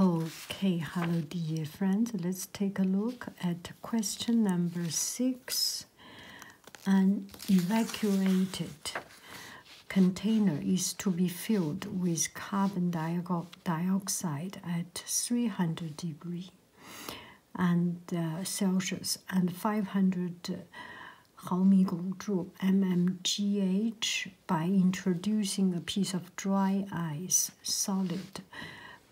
Okay, hello dear friends. Let's take a look at question number six. An evacuated container is to be filled with carbon dioxide at 300 degree and uh, Celsius and 500 uh, mmgh by introducing a piece of dry ice solid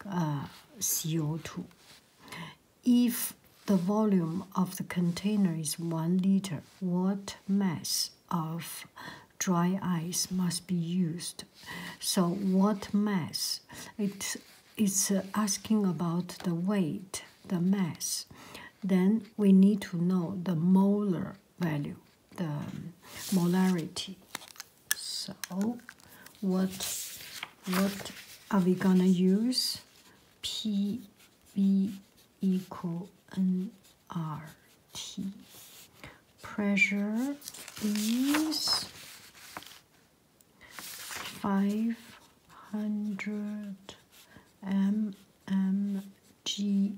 uh, CO2. If the volume of the container is 1 liter, what mass of dry ice must be used? So, what mass? It, it's uh, asking about the weight, the mass. Then we need to know the molar value the um, molarity. So what what are we gonna use? PB equal nRT. Pressure is five hundred mmg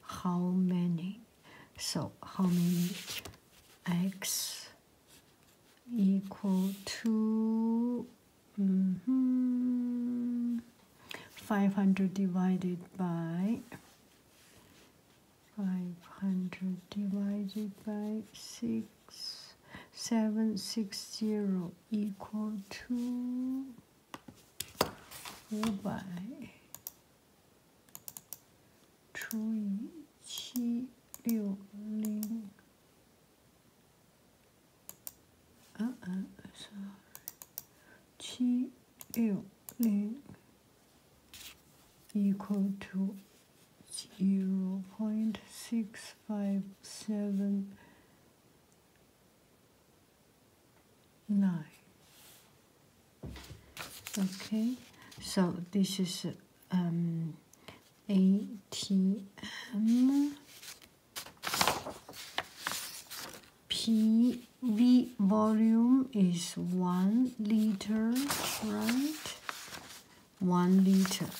how many so how many x equal to -hmm, 500 divided by 500 divided by 6 760 equal to 五百除以七六零，嗯嗯，sorry，七六零，equal to zero point six five seven 9 okay so this is um, ATM PV volume is 1 liter right 1 liter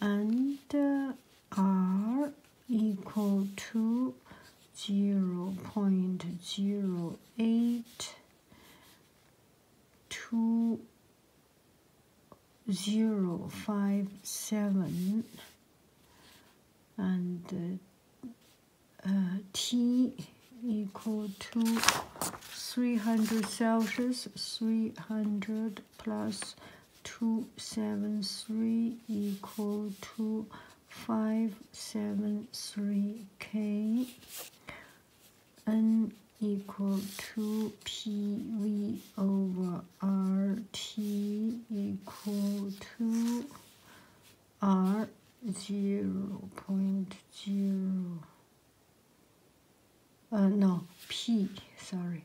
and uh, R equal to 0 0.08 two zero five seven and uh, uh, T equal to 300 Celsius 300 plus 273 equal to 573K n equal to PV over RT equal to R 0 uh, no P sorry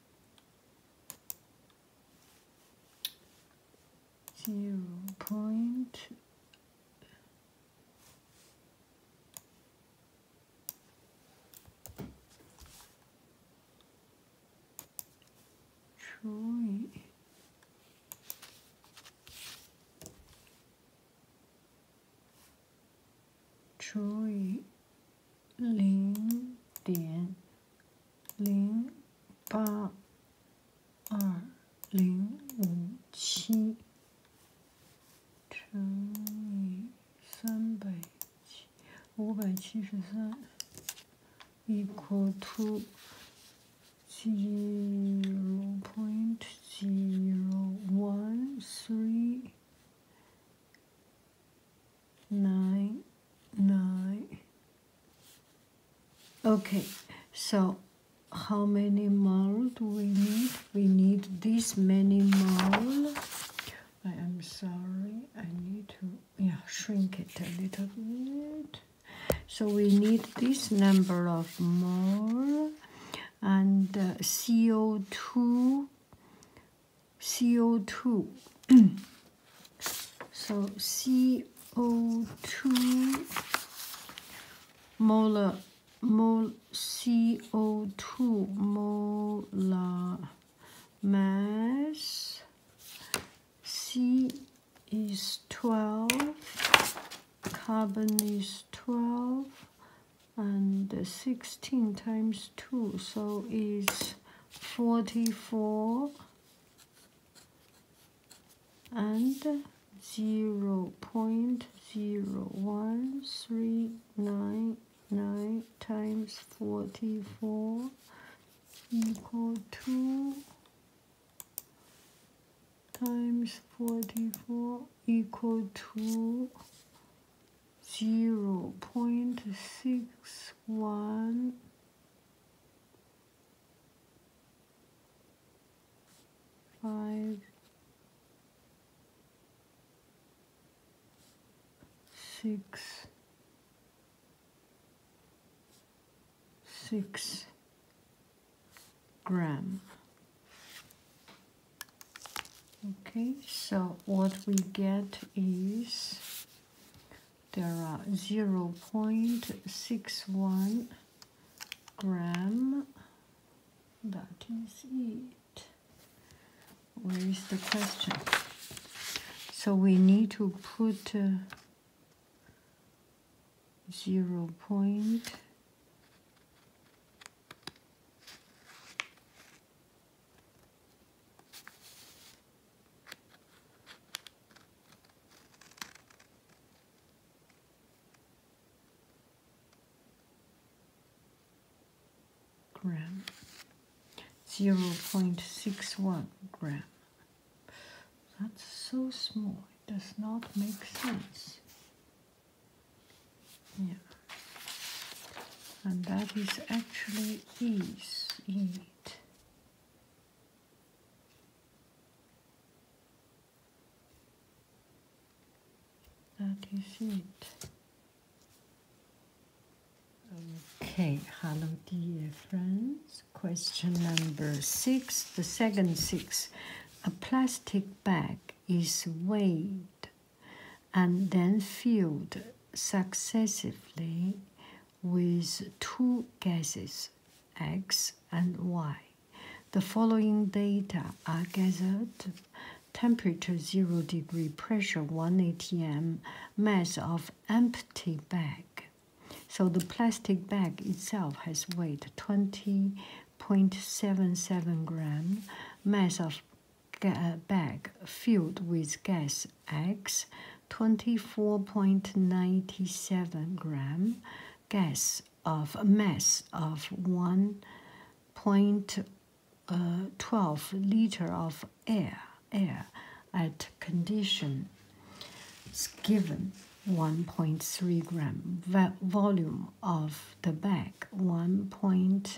zero point Troy Troy 零点零八二零五七乘以三百七五百七十三，equal to zero point zero one three。nine, nine. Okay, so how many mole do we need? We need this many mole. I am sorry, I need to yeah, shrink it a little bit. So we need this number of mole and uh, CO2 CO2. so CO2 molar mol CO2 molar mass C is 12 carbon is 12 and 16 times 2 so is 44 and zero point zero one three nine nine times forty four equal to times forty four equal to zero point six one five, six, six gram. Okay, so what we get is there are 0.61 gram that is it where is the question so we need to put uh, 0 point gram, 0.61 gram. That's so small, it does not make sense. Yeah. And that is actually is, eat that is it okay hello dear friends question number six the second six a plastic bag is weighed and then filled successively with two gases, X and Y. The following data are gathered temperature 0 degree, pressure 1 atm, mass of empty bag. So the plastic bag itself has weight 20.77 gram, mass of bag filled with gas x 24.97 gram gas of mass of 1.12 uh, liter of air air at condition is given 1.3 gram volume of the bag 1.12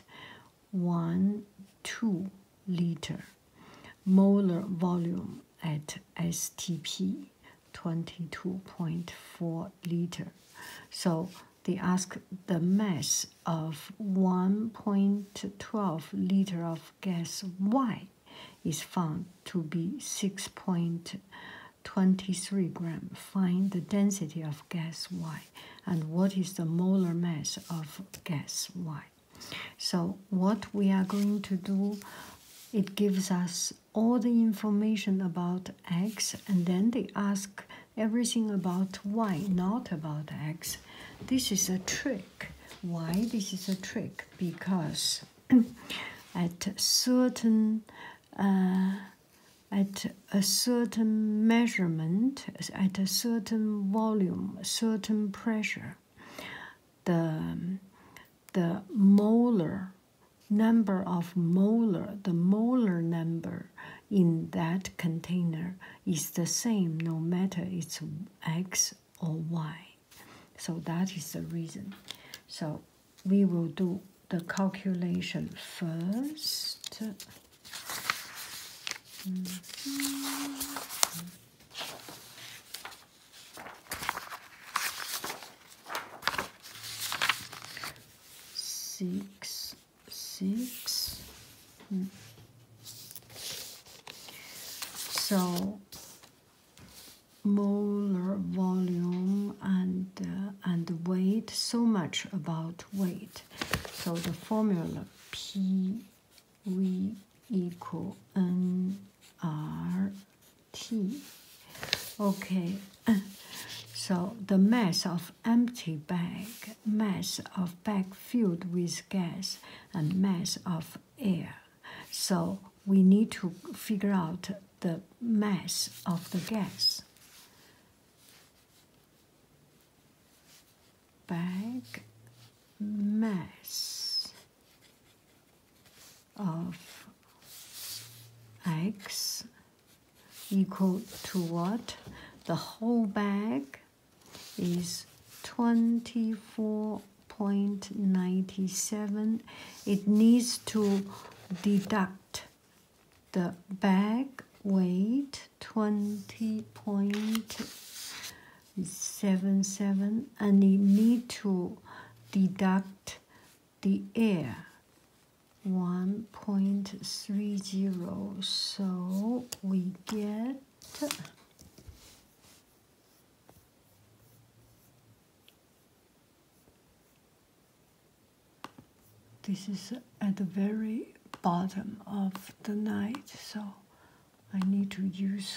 liter molar volume at STP 22.4 liter. So they ask the mass of 1.12 liter of gas Y is found to be 6.23 gram. Find the density of gas Y and what is the molar mass of gas Y. So what we are going to do, it gives us all the information about x and then they ask everything about y, not about x. This is a trick. Why this is a trick? Because at certain uh, at a certain measurement, at a certain volume, certain pressure, the, um, the molar number of molar, the molar number in that container is the same no matter it's x or y. So that is the reason. So we will do the calculation first. Mm-hmm six, six. Hmm. So molar volume and uh, and weight. So much about weight. So the formula P we equal n r t. Okay, so the mass of empty bag, mass of bag filled with gas, and mass of air. So we need to figure out the mass of the gas. Bag mass of x equal to what? The whole bag is 24.97. It needs to deduct the bag weight 20.97 seven seven and we need to deduct the air 1.30 so we get this is at the very bottom of the night so I need to use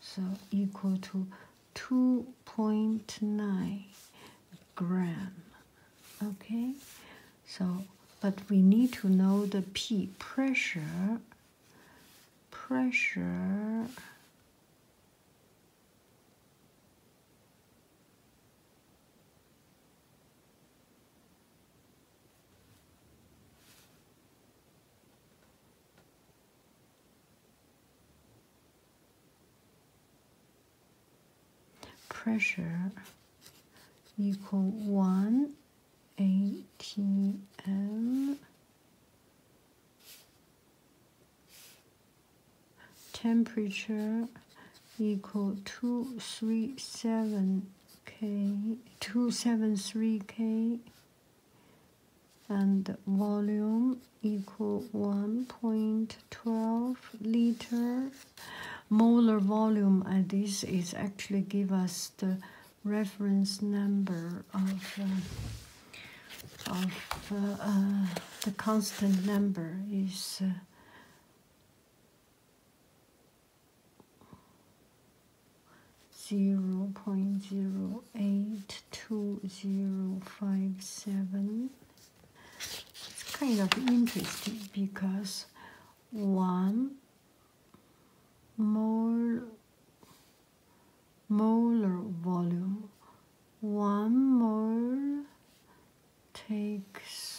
So equal to 2.9 gram. Okay, so but we need to know the P pressure. Pressure pressure equal 1 atm temperature equal 237 k 273 k and volume equal 1.12 liter molar volume and uh, this is actually give us the reference number of uh, of uh, the constant number is zero point zero eight two zero five seven. It's kind of interesting because one mole molar volume one mole takes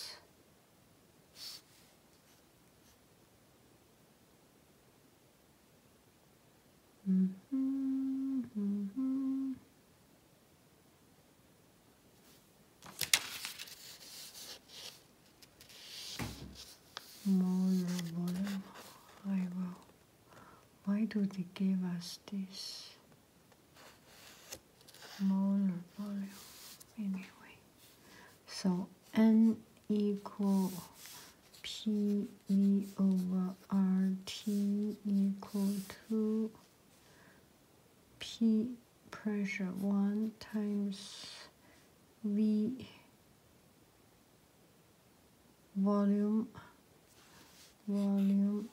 Mm -hmm, I will. Why do they give us this? Molar volume, anyway. So, N equal PV over RT equal to P pressure 1 times V volume volume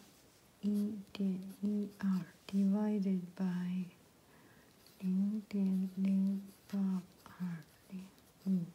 1.1R divided by 0.0880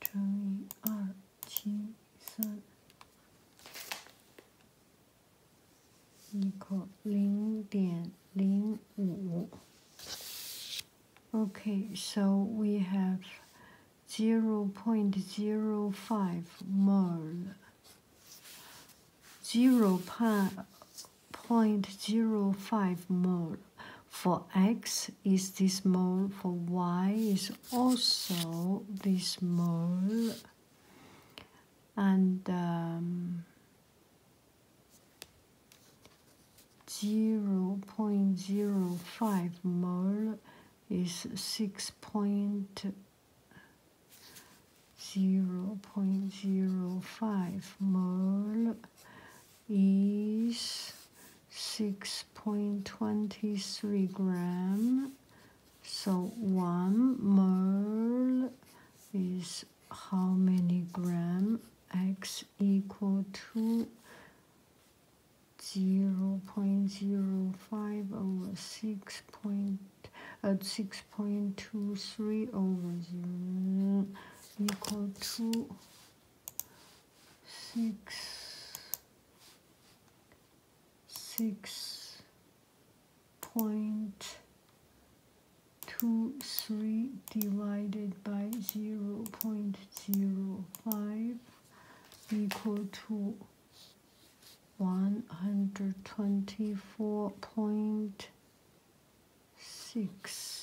乘以二七三，equal 零点零五。Okay, so we have zero point zero five mole. Zero point zero five mole for x is this mole, for y is also this mole, and um, 0.05 mole is 6. Point mole is 6.23 gram so one mole is how many gram x equal to 0 0.05 over 6 point at uh, 6.23 over 0 equal to six, six point two three divided by zero point zero five equal to one hundred twenty four point six.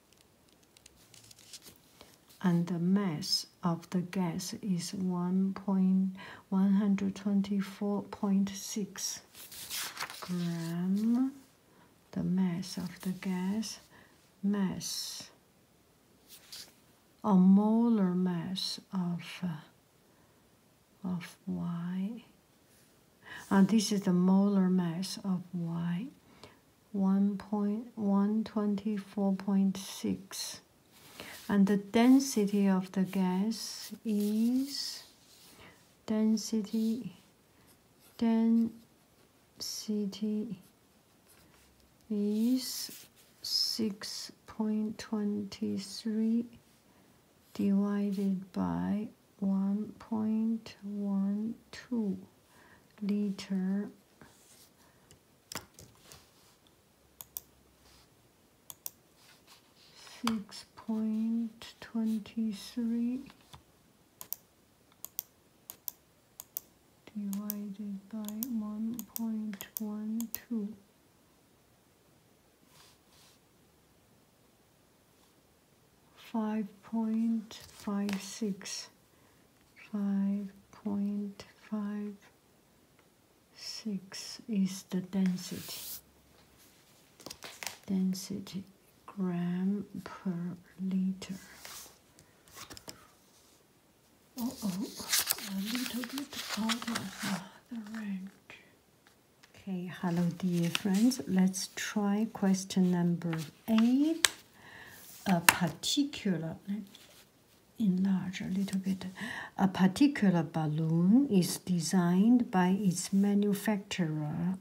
and the mass of the gas is 1.124.6 gram the mass of the gas mass a molar mass of uh, of y uh, this is the molar mass of y, 1.124.6. And the density of the gas is density, density is 6.23 divided by 1.12 liter six point twenty three divided by one point one two five point five six five point five six is the density density gram per liter uh oh a little bit out of the range okay hello dear friends let's try question number aid a particular enlarge a little bit a particular balloon is designed by its manufacturer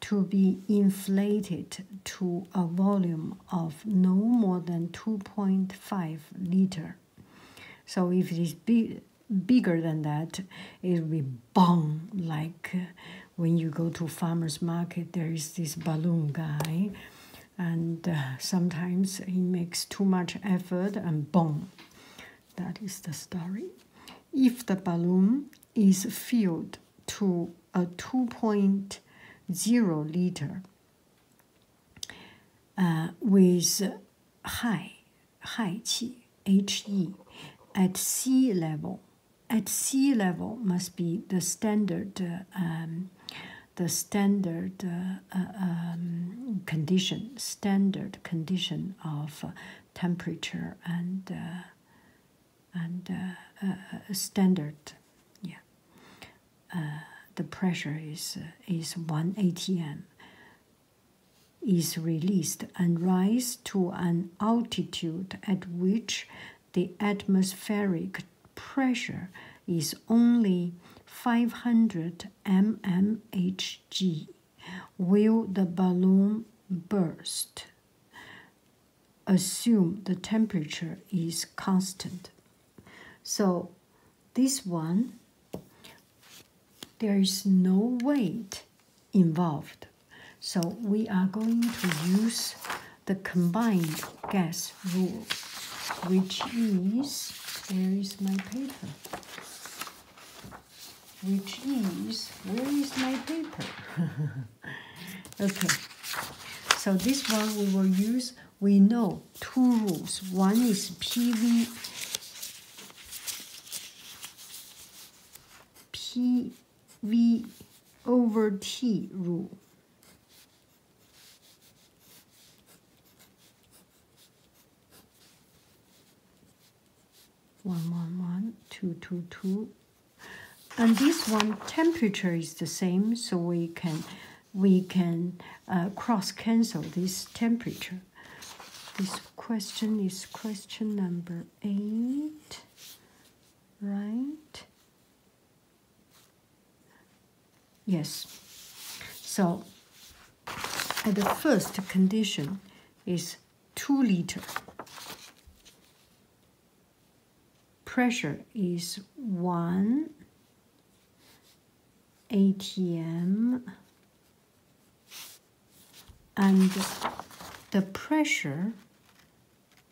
to be inflated to a volume of no more than 2.5 liter so if it is big, bigger than that it will be bomb like uh, when you go to farmers market there is this balloon guy and uh, sometimes he makes too much effort and boom that is the story if the balloon is filled to a 2.0 liter uh, with high, high qi, at sea level at sea level must be the standard um, the standard uh, uh, um, condition standard condition of uh, temperature and and standard yeah the pressure is is 1 atm is released and rise to an altitude at which the atmospheric pressure is only 500 mmHg. Will the balloon burst? Assume the temperature is constant. So, this one, there is no weight involved. So we are going to use the combined gas rule, which is, where is my paper? Which is, where is my paper? okay, so this one we will use, we know two rules. One is PV, P, V over T rule. One, one, one, two, two, two. And this one temperature is the same, so we can we can uh, cross cancel this temperature. This question is question number eight right? Yes. So the first condition is 2 liter. Pressure is 1 ATM and the pressure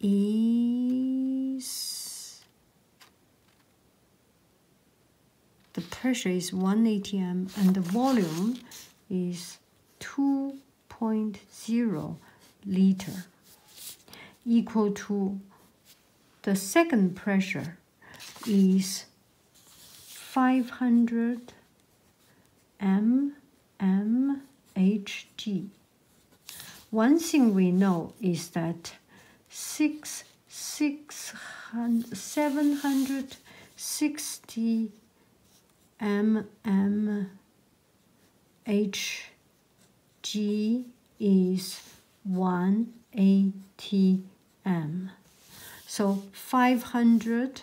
is the pressure is 1 atm and the volume is 2.0 liter equal to the second pressure is 500 mmHg one thing we know is that six, six hundred, 760 mmHg is 1 atm. So 500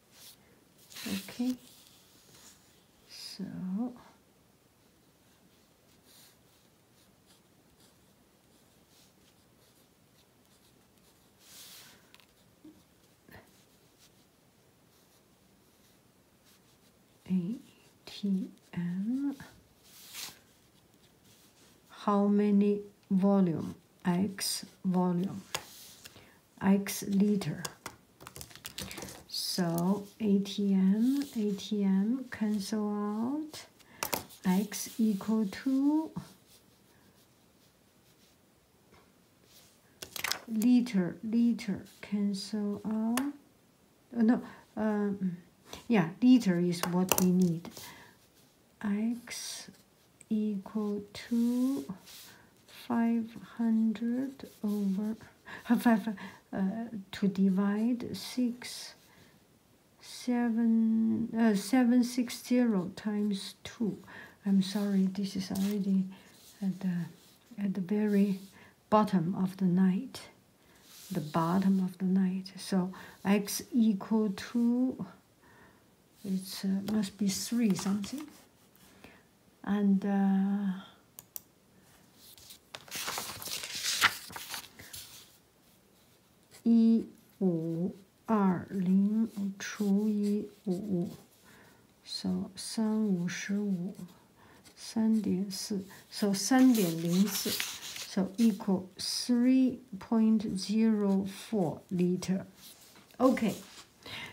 Okay, so ATM. How many volume? X volume. X liter. So ATM, ATM, cancel out. X equal to liter, liter, cancel out. Oh, no, um, yeah, liter is what we need. X equal to 500 over five, uh, to divide 6 7 uh, 760 times 2 i'm sorry this is already at the at the very bottom of the night the bottom of the night so x equal to it uh, must be 3 something and uh, E 五二零除以五，so 三五十五，三点四，so 三点零四，so equal three point zero four liter. Okay,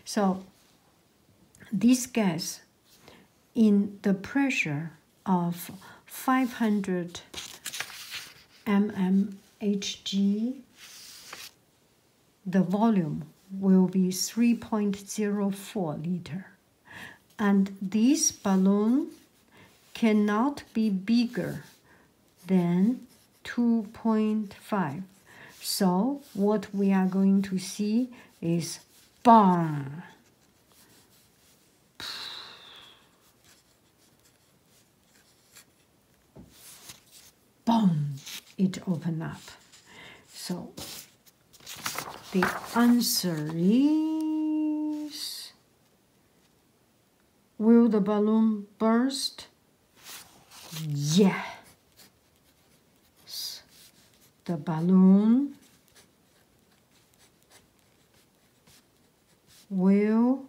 so this gas, in the pressure of 500 mmHg, the volume will be 3.04 liter. And this balloon cannot be bigger than 2.5 so what we are going to see is boom, Boom, it opened up. So the answer is Will the balloon burst? Yeah the balloon will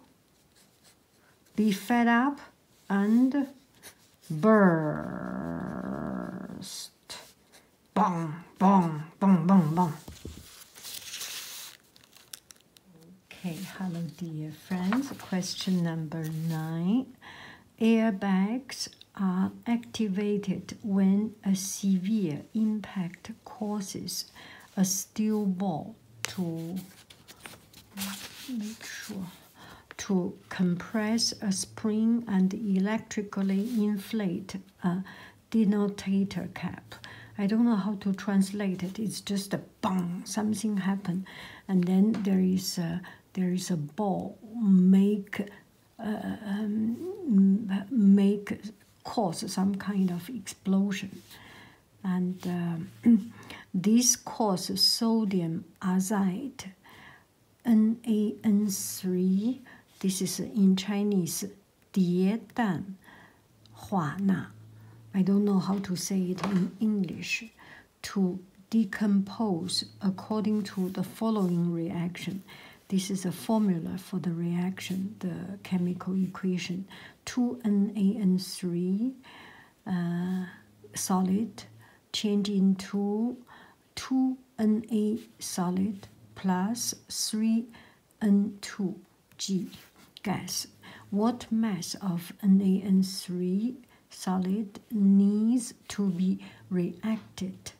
be fed up and burst. Boom! Boom! Boom! Boom! bong. Okay, hello dear friends. Question number nine. Airbags are activated when a severe impact causes a steel ball to make sure to compress a spring and electrically inflate a denotator cap. I don't know how to translate it. It's just a bang, something happened, and then there is a, there is a ball make uh, um, make cause some kind of explosion, and uh, this cause sodium azide, NaN3. This is in Chinese, 蝶氮化钠. I don't know how to say it in English to decompose according to the following reaction. This is a formula for the reaction, the chemical equation. 2NaN3 uh, solid change into 2Na solid plus 3N2G gas. What mass of NaN3 solid needs to be reacted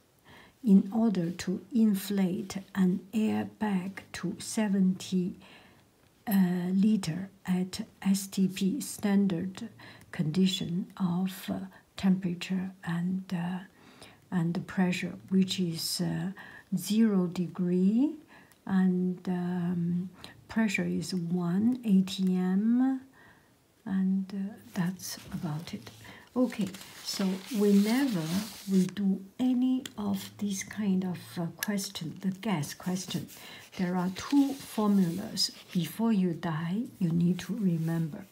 in order to inflate an airbag to 70 uh, liter at STP standard condition of uh, temperature and uh, and pressure, which is uh, zero degree, and um, pressure is one atm and uh, that's about it okay so we never we do any of these kind of uh, question the gas question there are two formulas before you die you need to remember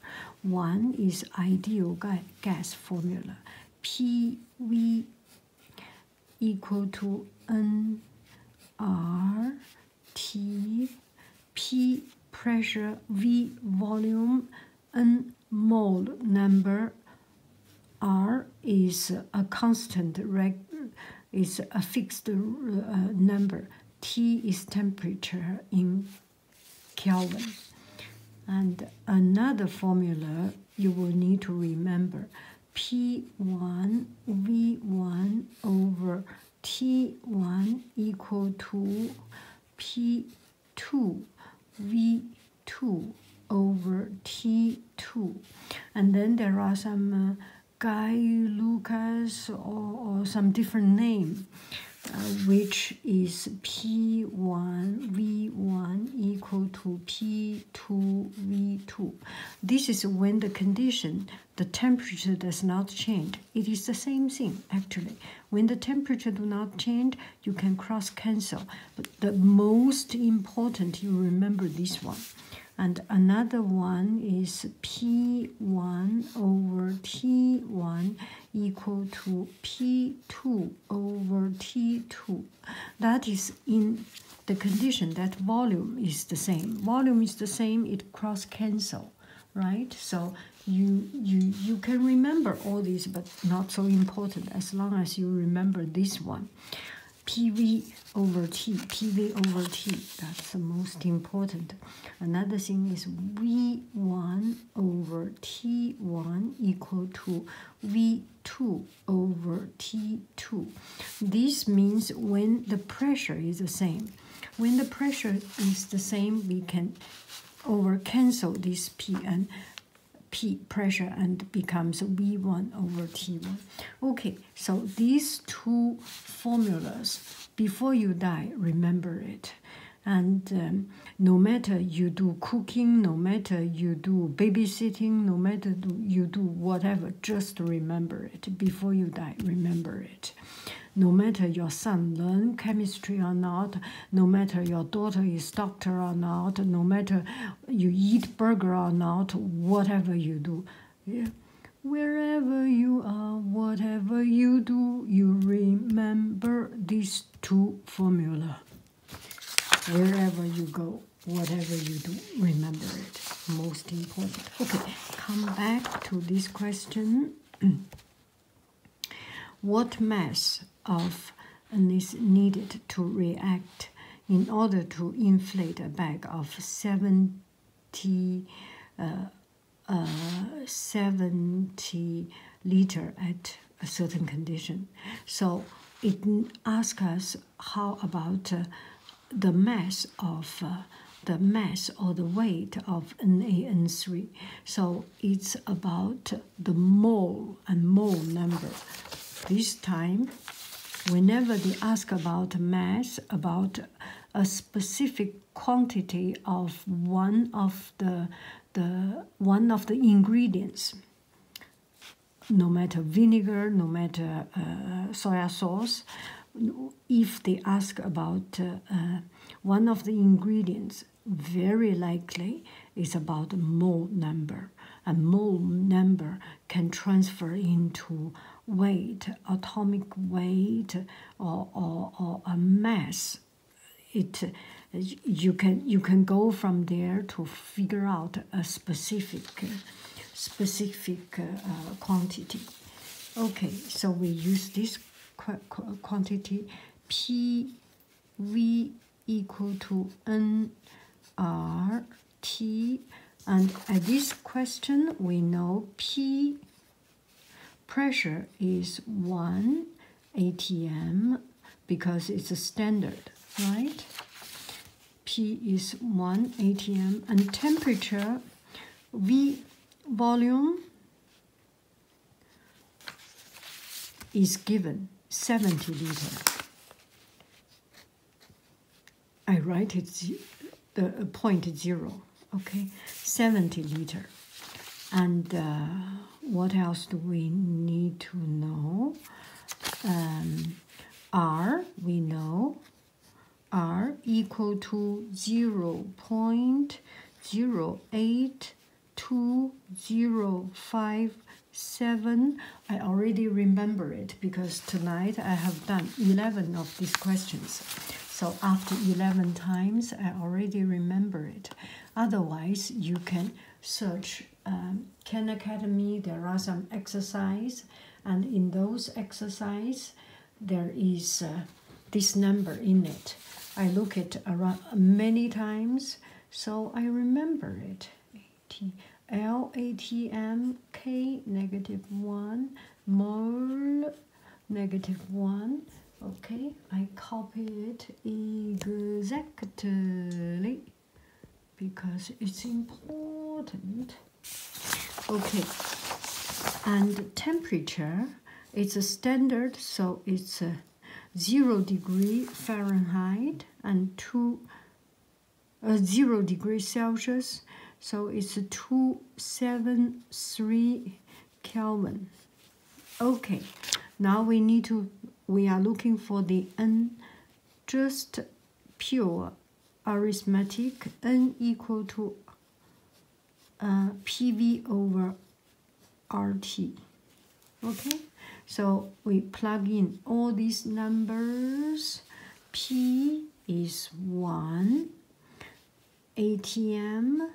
one is ideal gas formula pv equal to nr T, P pressure, V volume, N mole number, R is a constant is a fixed uh, number. T is temperature in Kelvin. And another formula you will need to remember P1 V1 over T1 equal to P2 V2 over T2. And then there are some uh, Guy Lucas or, some different name, uh, which is P1 V1 equal to P2 V2. This is when the condition the temperature does not change. It is the same thing actually. When the temperature do not change, you can cross cancel. But the most important, you remember this one. And another one is P1 over T1 equal to P2 over T2. That is in the condition that volume is the same. Volume is the same, it cross cancel right so you you you can remember all these but not so important as long as you remember this one pv over t pv over t that's the most important another thing is v1 over t1 equal to v2 over t2 this means when the pressure is the same when the pressure is the same, we can over cancel this P and P pressure and becomes V1 over T1. Okay, so these two formulas, before you die, remember it. And um, no matter you do cooking, no matter you do babysitting, no matter you do whatever, just remember it. Before you die, remember it. No matter your son learn chemistry or not, no matter your daughter is doctor or not, no matter you eat burger or not, whatever you do, wherever you are, whatever you do, you remember these two formula. Wherever you go, whatever you do, remember it. Most important. Okay, come back to this question. What mass of is needed to react in order to inflate a bag of uh, uh, 70, liter at a certain condition? So it asks us how about uh, the mass of the mass or the weight of NaN3. So it's about the mole and mole number. This time, whenever they ask about mass, about a specific quantity of one of the, the one of the ingredients, no matter vinegar, no matter uh, soy sauce, if they ask about uh, uh, one of the ingredients very likely is about mole number and mole number can transfer into weight atomic weight or, or, a mass it you can you can go from there to figure out a specific specific uh, quantity okay so we use this this qu quantity P V equal to N R T. And at this question, we know P pressure is 1 ATM because it's a standard, right? P is 1 ATM and temperature, V volume is given 70 liter. I write it the uh, point zero, okay, 70 liter. And uh, what else do we need to know? Um, R, we know, R equal to 0 0.08 2057 i already remember it because tonight i have done 11 of these questions so after 11 times i already remember it otherwise you can search um, Ken academy there are some exercise and in those exercise there is uh, this number in it. I look at around many times, so I remember it. LATM K negative 1 mole negative 1 okay I copy it exactly because it's important okay and temperature it's a standard, so it's a uh, zero degree Fahrenheit and two uh, zero degree Celsius, so it's a two seven three Kelvin. Okay, now we need to we are looking for the n just pure arithmetic n equal to uh, PV over RT. Okay, so we plug in all these numbers. P is 1 ATM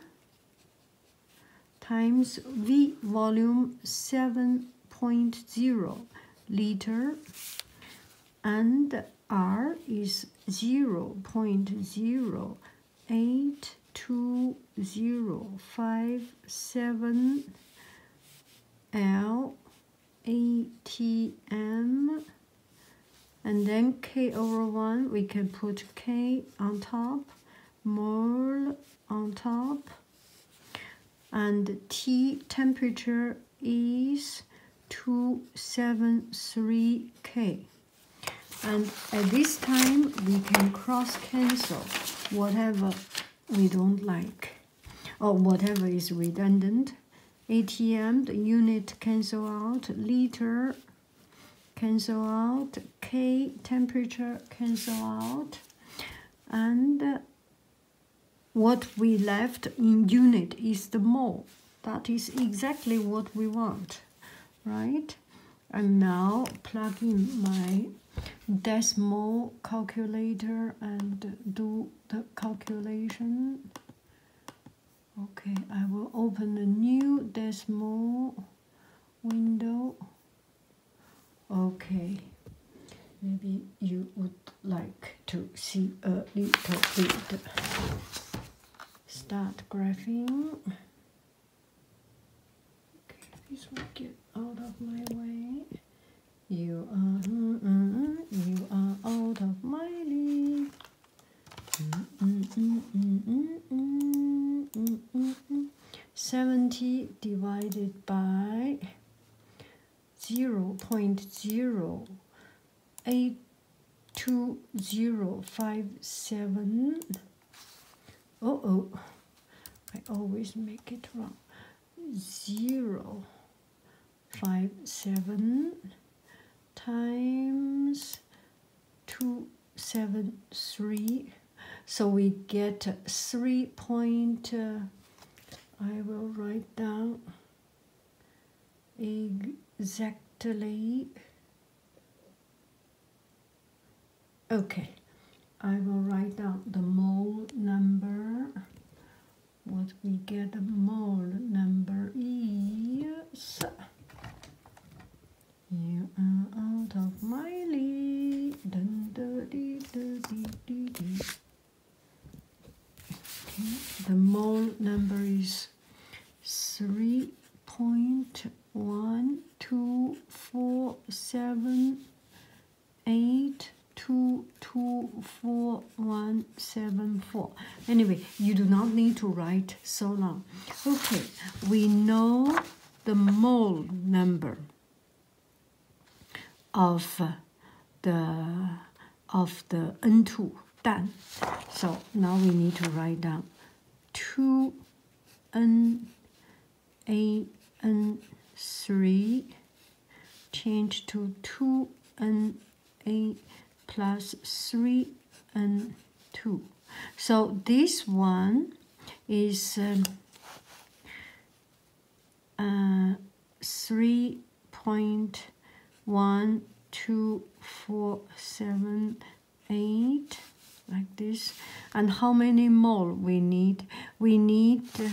times V volume 7.0 liter and R is 0.0 eight two zero five seven L A T M and then K over one we can put K on top mole on top and T temperature is 273K and at this time we can cross cancel whatever we don't like or whatever is redundant atm the unit cancel out liter cancel out k temperature cancel out and what we left in unit is the mole that is exactly what we want right and now plug in my decimal calculator and do the calculation okay I will open a new decimal window okay maybe you would like to see a little bit start graphing Okay, please get out of my way. You are, you are out of my league. 70 divided by 0 Oh, oh, I always make it wrong. Zero five seven times two seven three. So we get three point. Uh, I will write down exactly Okay, I will write down the mole number. What we get the mole number is. You are out of my league. The mole number is 3.0 one, two, four, seven, eight, two, two, four, one, seven, four. Anyway, you do not need to write so long. Okay, we know the mole number of uh, the of the N2 dan. So now we need to write down two eight N A N three change to 2 eight 3 N A plus three N two. So this one is um, uh, three point one two four seven eight like this and how many more we need we need uh,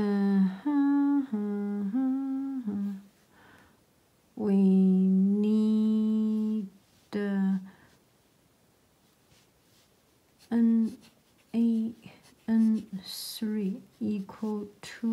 uh -huh, uh -huh. Uh-huh. we need uh, n a n three equal to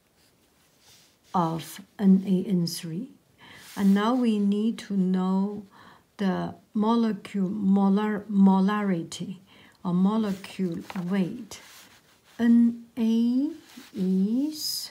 of NAN3. And now we need to know the molecule molar, molarity or molecule weight. Na is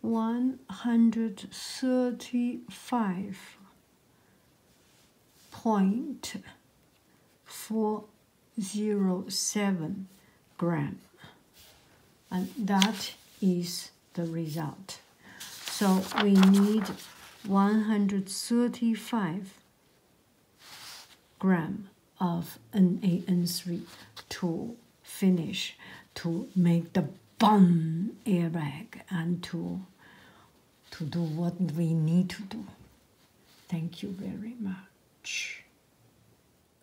135 point four zero seven gram and that is the result so we need 135 gram of NaN3 to finish to make the bomb airbag and to to do what we need to do. Thank you very much.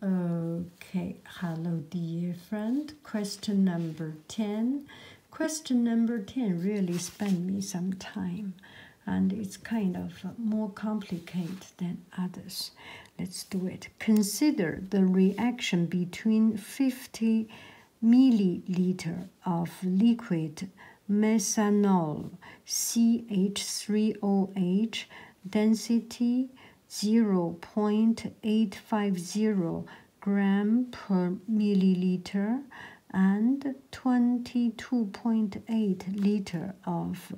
Okay, hello dear friend. Question number 10. Question number 10 really spend me some time and it's kind of more complicated than others. Let's do it. Consider the reaction between 50 milliliter of liquid methanol CH3OH density 0.850 gram per milliliter and 22.8 liter of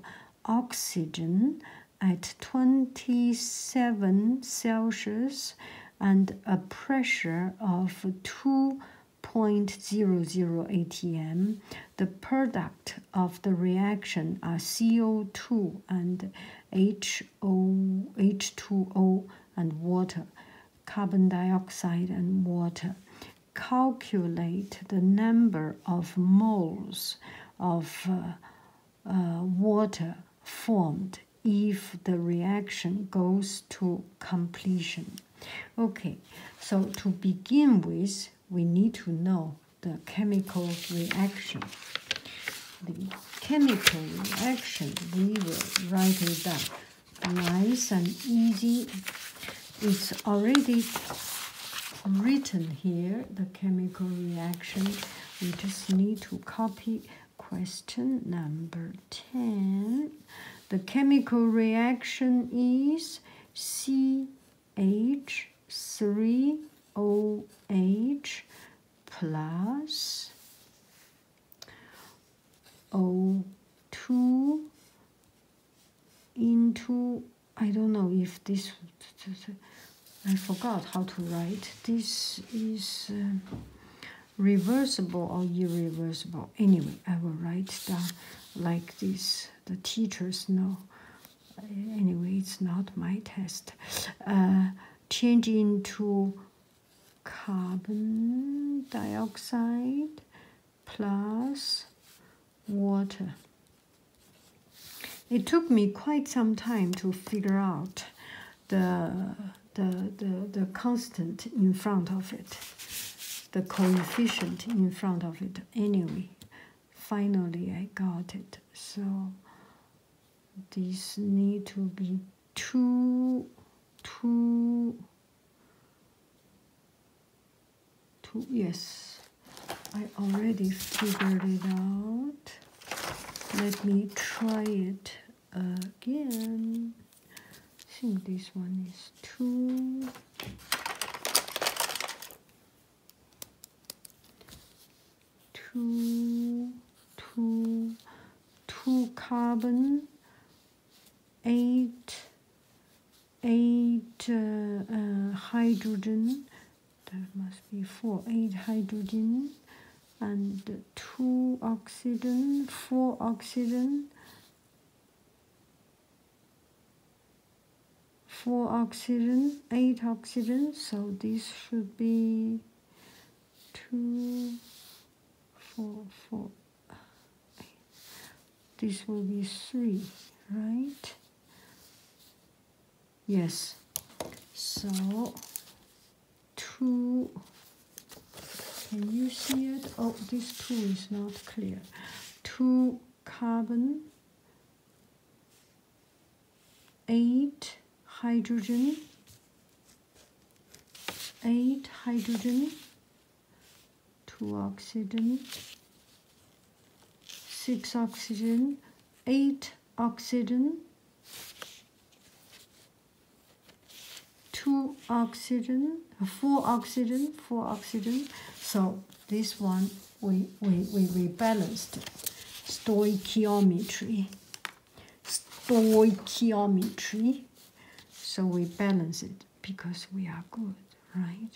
oxygen at 27 Celsius and a pressure of 2.00 atm, the product of the reaction are CO2 and HO, H2O and water, carbon dioxide and water calculate the number of moles of uh, uh, water formed if the reaction goes to completion. Okay, so to begin with, we need to know the chemical reaction. The chemical reaction, we will write it down. Nice and easy it's already written here the chemical reaction we just need to copy question number 10 the chemical reaction is CH3OH plus O2 into I don't know if this I forgot how to write. This is um, reversible or irreversible. Anyway, I will write down like this. The teachers know. Anyway, it's not my test. Uh, change into carbon dioxide plus water. It took me quite some time to figure out the, the, the, the constant in front of it, the coefficient in front of it. Anyway, finally I got it. So these need to be two, two, two yes I already figured it out let me try it again I think this one is two two two two carbon eight eight uh, uh, hydrogen that must be four eight hydrogen and two oxygen four oxygen four oxygen eight oxygen so this should be two, four, four. this will be three right yes so two can you see it oh this two is not clear two carbon eight hydrogen eight hydrogen two oxygen 6 oxygen, 8 oxygen, 2 oxygen, 4 oxygen, 4 oxygen. So this one we, we, we, we balanced stoichiometry, stoichiometry. So we balance it because we are good, right?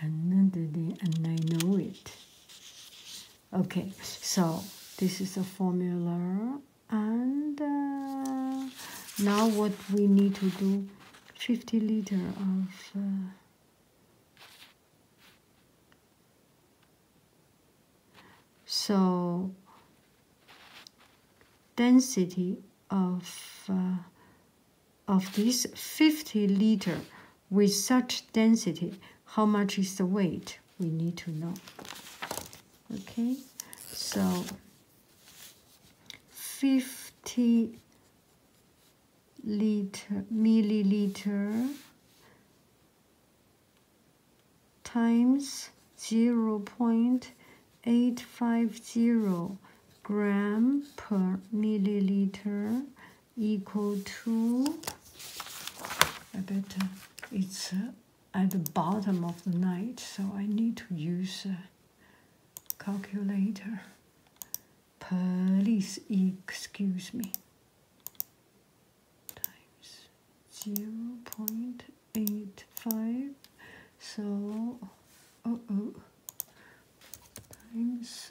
another day, and I know it. Okay, so this is a formula, and uh, now what we need to do 50 liter of. Uh, so density of uh, of this 50 liter with such density, how much is the weight? We need to know. Okay, so 50 liter milliliter times 0.850 gram per milliliter equal to I better. Uh, it's uh, at the bottom of the night, so I need to use a calculator. Please excuse me. Times zero point eight five. So, uh oh, times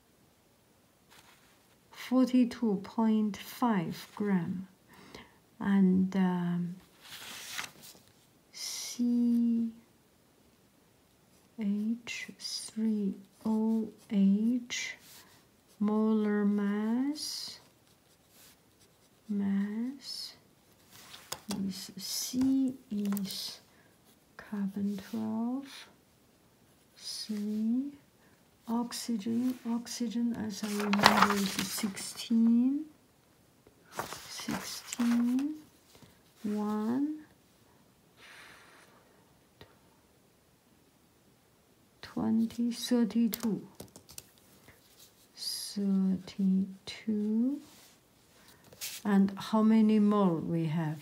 42.5 gram and um, CH3OH molar mass mass is C is carbon 12 see oxygen oxygen as i remember is 16 16 1 32 32 and how many more we have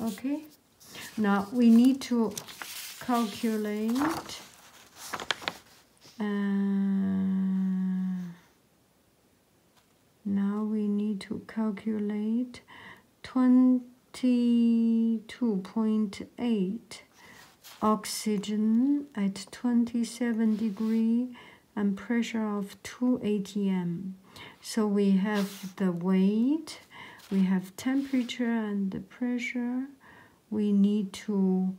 okay now we need to calculate uh, now we need to calculate 22.8 oxygen at 27 degree and pressure of 2 atm so we have the weight we have temperature and the pressure. We need to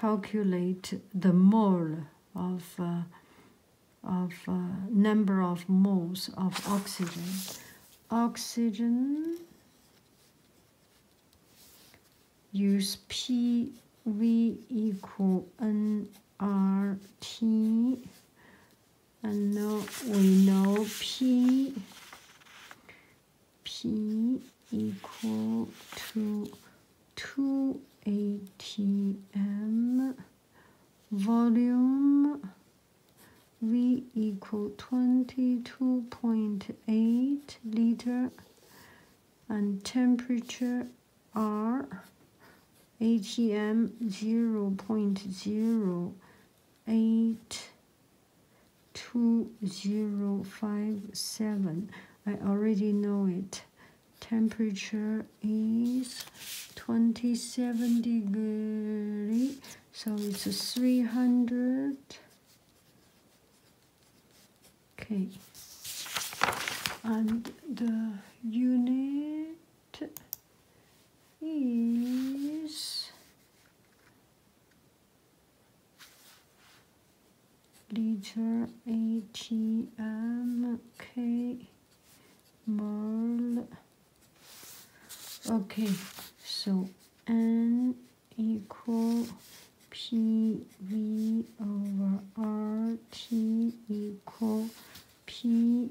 calculate the mole of, uh, of uh, number of moles of oxygen. Oxygen use PV equal nRT and now we know P P equal to 2 atm volume V equal 22.8 liter and temperature R ATM 0.0 eight two zero five seven. I already know it. Temperature is 27 degree, so it's 300. Okay, and the unit is Ledger ATM K Merle. Okay, so N equal PV over RT equal P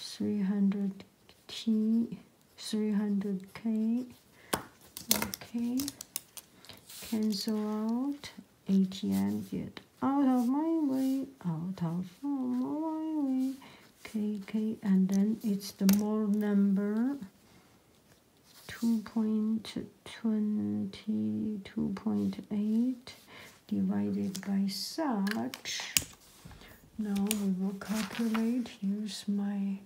300T, 300K, okay, cancel out, ATM get out of my way, out of my way, KK, and then it's the mole number, 2.20, 2.8, divided by such. Now we will calculate, use my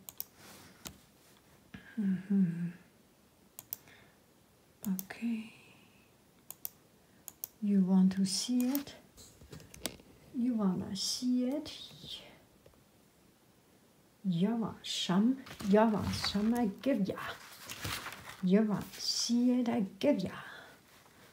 hmm, okay. You want to see it? You wanna see it? Yava sham, yava sham, I give ya. Yava, see it, I give ya.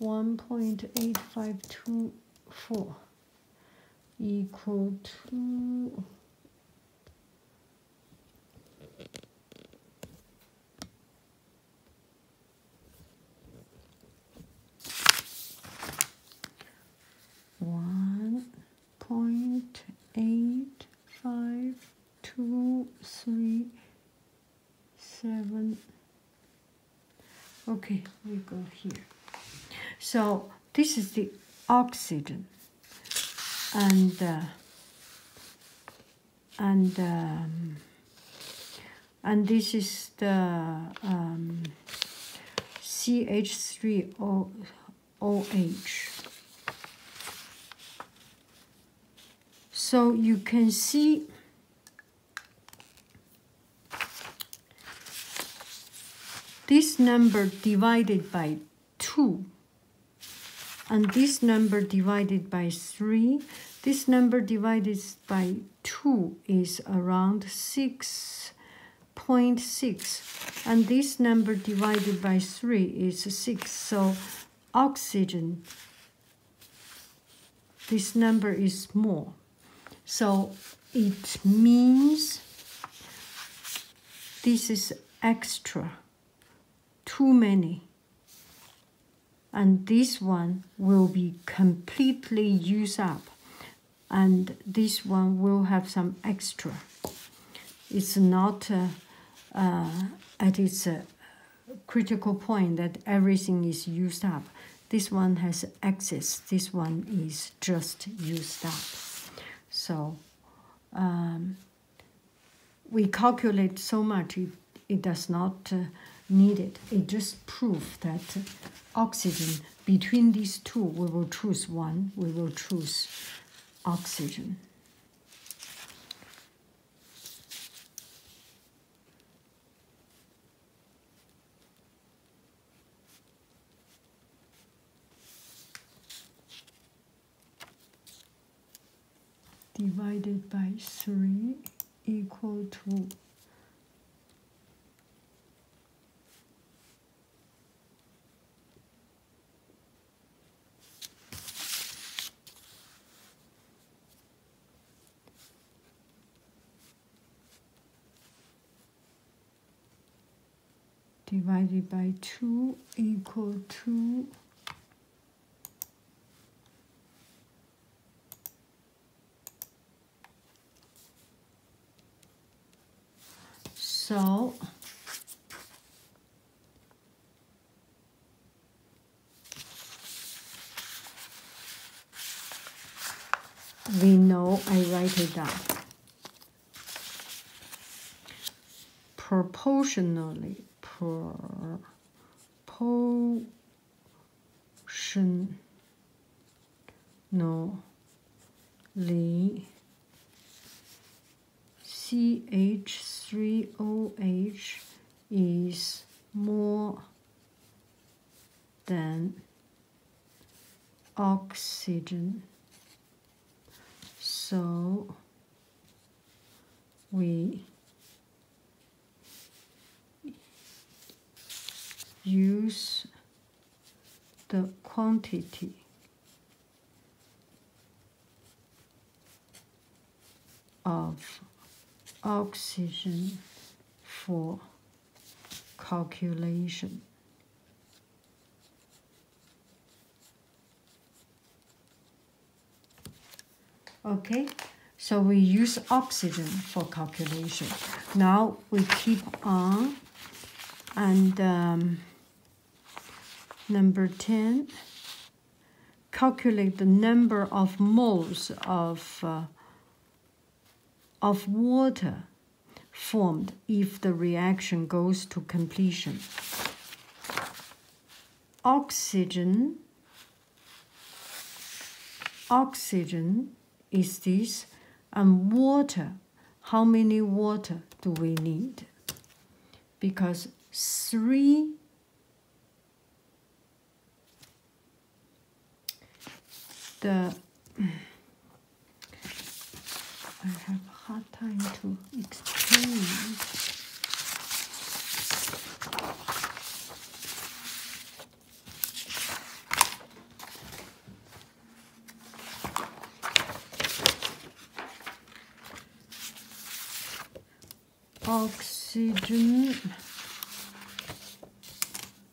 1.8524 equal to one point eight five two three seven okay we go here so this is the oxygen and uh, and um, and this is the um, CH3OH so you can see this number divided by 2 and this number divided by 3 this number divided by 2 is around 6.6 and this number divided by 3 is 6 so oxygen this number is small. So it means this is extra, too many. And this one will be completely used up. And this one will have some extra. It's not at uh, uh, its uh, critical point that everything is used up. This one has excess, this one is just used up. So um, we calculate so much, it, it does not uh, need it. It just proves that oxygen, between these two, we will choose one, we will choose oxygen divided by 3 equal to divided by 2 equal to So. We know I write it down. Proportionally, proportionally, ch H three O H is more then oxygen. So we use the quantity of oxygen for calculation. Okay, so we use oxygen for calculation. Now we keep on and um, number 10, calculate the number of moles of uh, of water formed if the reaction goes to completion. Oxygen oxygen is this and water how many water do we need because three the I have a hard time to explain. Oxygen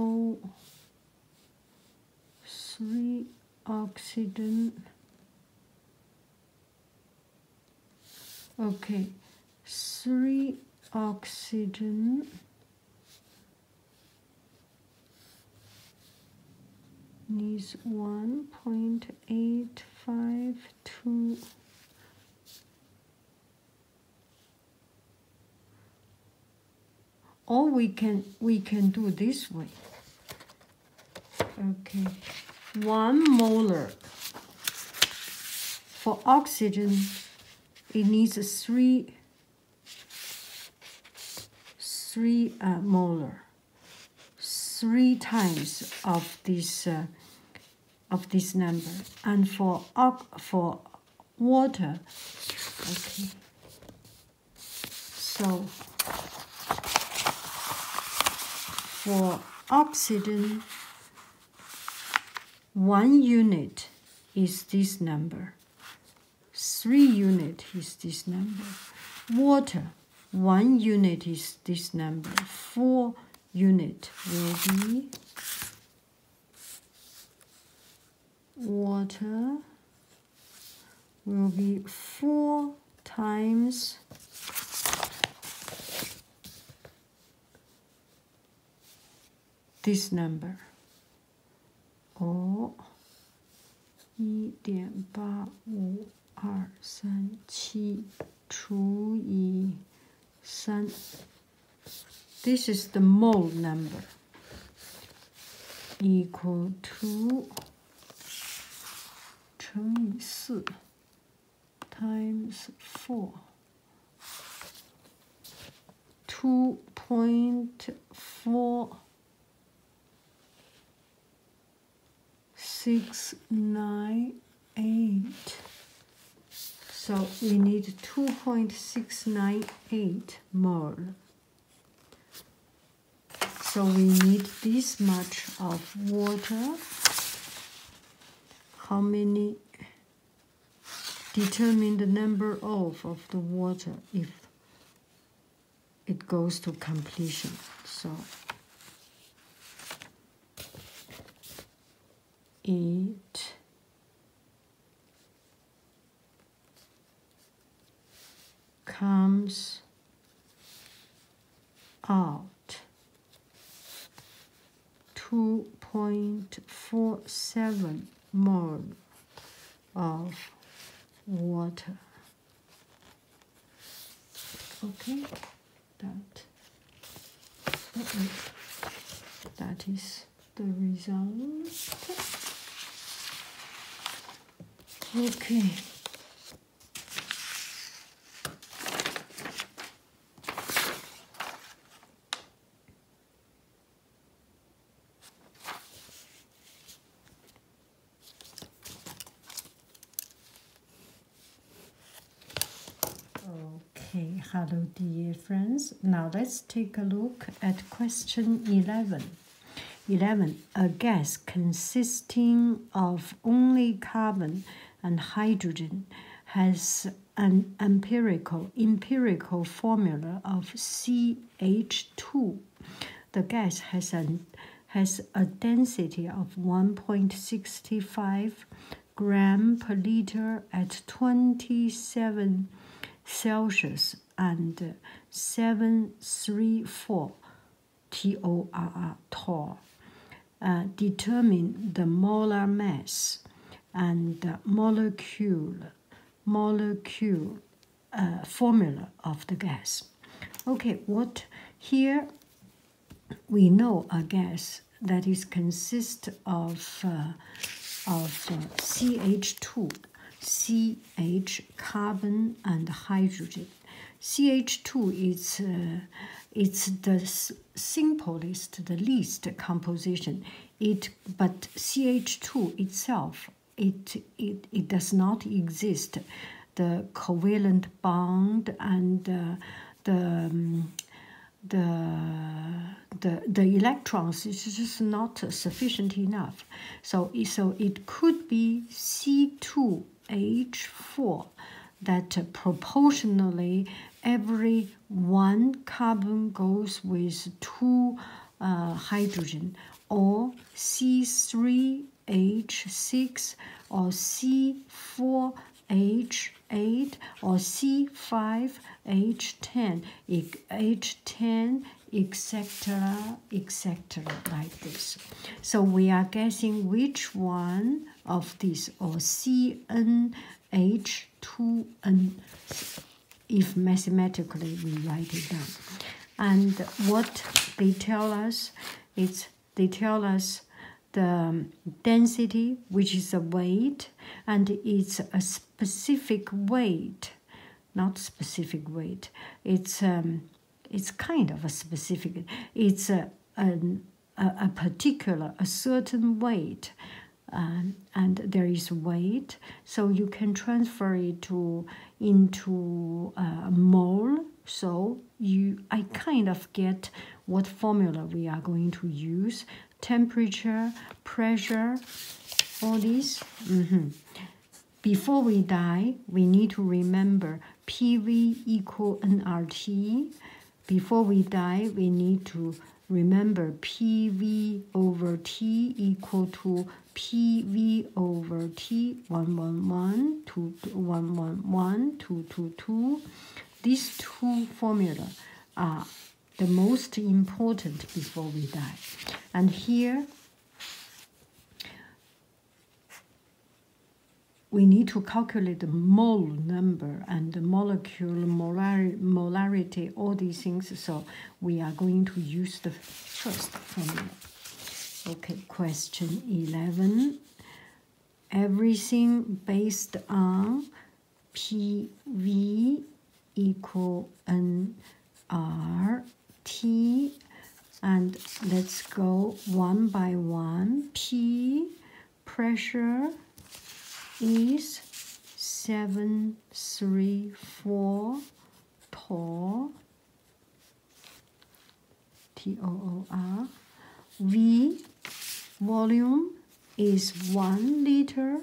O three oxygen okay three oxygen needs 1.852 all we can we can do this way okay one molar for oxygen it needs three three uh, molar three times of this uh, of this number and for for water. Okay. So for oxygen, one unit is this number. Three unit is this number. Water, one unit is this number. Four unit will be water will be four times this number or 一点八五二三七除以三。this is the mole number equal to 乘以四 times four two point four six nine eight so we need 2.698 mole. So we need this much of water. How many? Determine the number of of the water if it goes to completion. So it comes out 2.47 mole of water. Okay, that, that is the result. Okay. Okay, hello dear friends. Now let's take a look at question 11. 11. A gas consisting of only carbon and hydrogen has an empirical empirical formula of CH2. The gas has an has a density of 1.65 gram per liter at 27 Celsius and 734 TORR TOR uh, determine the molar mass and molecule molecule uh, formula of the gas. Okay, what here we know a gas that is consist of uh, of CH2 CH, carbon and hydrogen. CH2 is uh, it's the simplest, the least composition. It but CH2 itself it it it does not exist. The covalent bond and uh, the um, the the, the electrons is just not sufficient enough. So, so it could be C2H4 that proportionally every one carbon goes with two uh, hydrogen or C3H6 or C4H8 or C5H10. H10, etc., etc., like this. So we are guessing which one of these, or CNH2N, if mathematically we write it down. And what they tell us is they tell us the density, which is a weight, and it's a specific weight not specific weight. It's um, it's kind of a specific. It's a a, a particular a certain weight. Um, and there is weight, so you can transfer it to into a mole. So you, I kind of get what formula we are going to use temperature, pressure, all these. Mm-hmm. Before we die, we need to remember PV equal nRT. Before we die, we need to remember PV over T equal to PV over T 111, 2, 222. These two formula are the most important before we die. And here, we need to calculate the mole number and the molecule molarity, all these things. So we are going to use the first formula. Okay, question 11. Everything based on PV equal n r t and let's go one by one p pressure is 734 tor t o o r v volume is 1 liter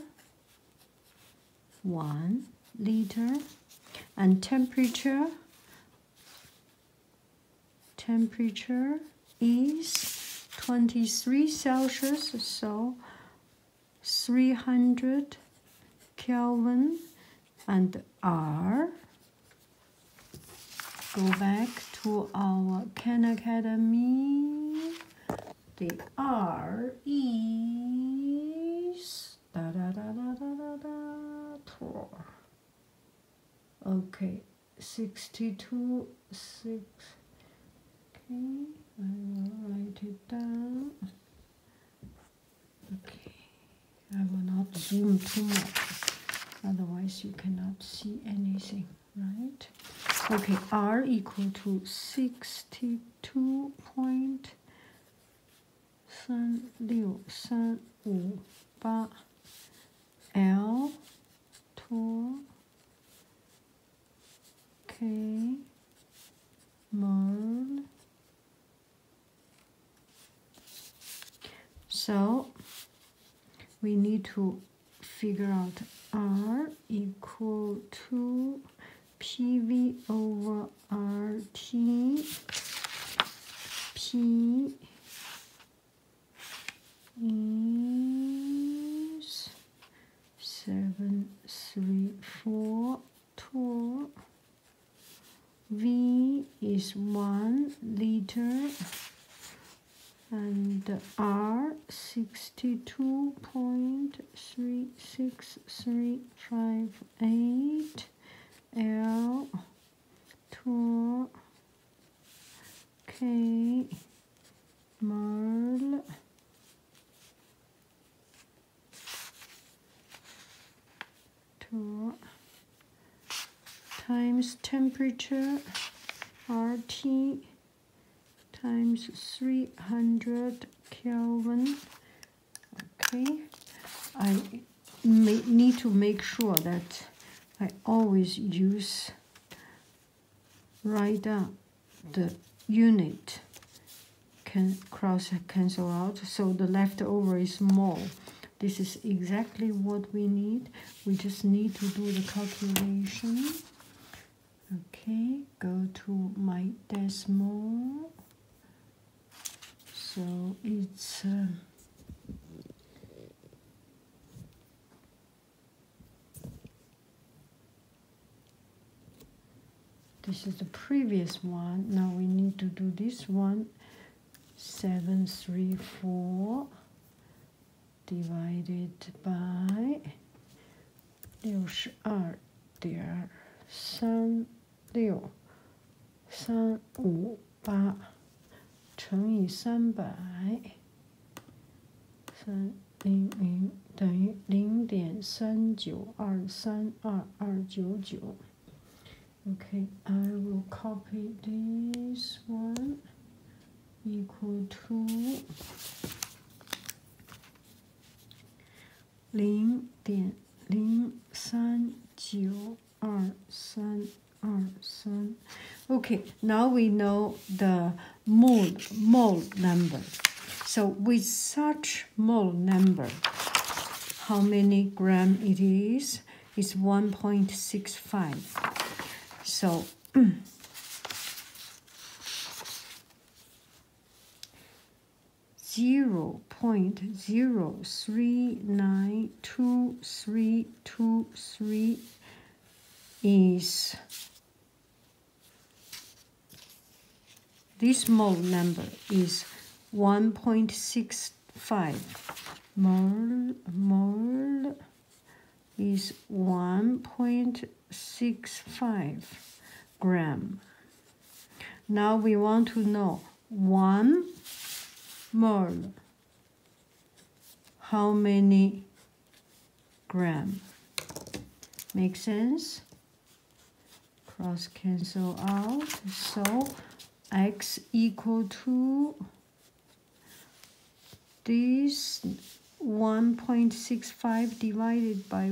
1 liter and temperature temperature is 23 Celsius so 300 Kelvin and R go back to our Khan Academy the R is da da da da da da da tour. Okay, 62, 6. Okay, I will write it down. Okay, I will not zoom too much, otherwise you cannot see anything, right? Okay, R equal to 62 two point 三六三五八 L two K mode. So we need to figure out R equal to PV over RT P is seven three four two V is one liter and R sixty two point three six three five eight L two K Merle two times temperature RT times 300 Kelvin Okay, I may need to make sure that I always use right down the unit can cross cancel out so the leftover is small this is exactly what we need we just need to do the calculation okay go to my decimal so it's um, this is the previous one now we need to do this one seven three four divided by 六十二点三六三五八乘以三百三零零等于零点三九二三二二九九。Okay, I will copy this one equal to. Okay, now we know the mole mole number. So with such mole number, how many gram it is? It's 1.65. So zero point zero three nine two three two three is this mole number is 1.65 mole mole is 1.65 gram. Now we want to know 1 mole, how many gram? Make sense? Cross cancel out. So x equal to this 1.65 divided by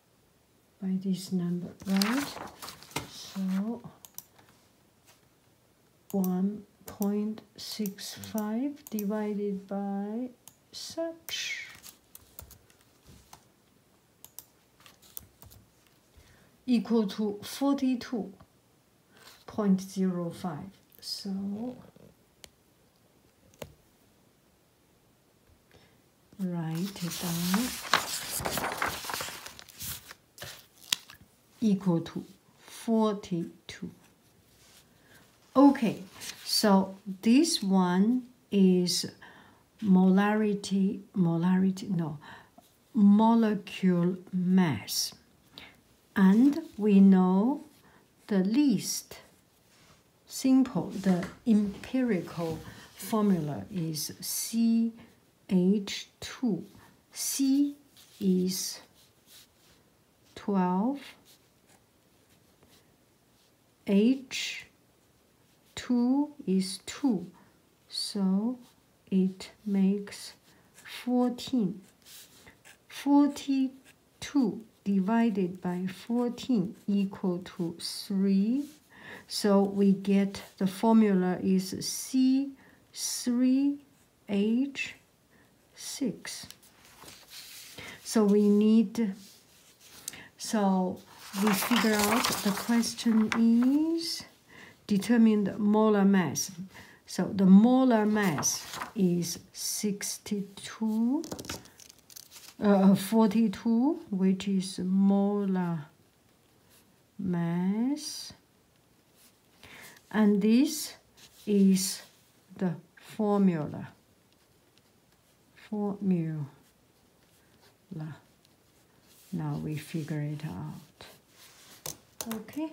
by this number, right? So 1.65 divided by such equal to 42.05. So write it down equal to 42 okay so this one is molarity molarity no molecule mass and we know the least simple. The empirical formula is CH2. C is 12, H2 is 2, so it makes 14. 42 divided by 14 equal to 3. So we get the formula is C3H6. So we need, so we figure out the question is determine the molar mass. So the molar mass is 62 uh, 42 which is molar mass and this is the formula formula now we figure it out okay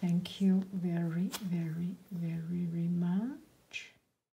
thank you very very very very much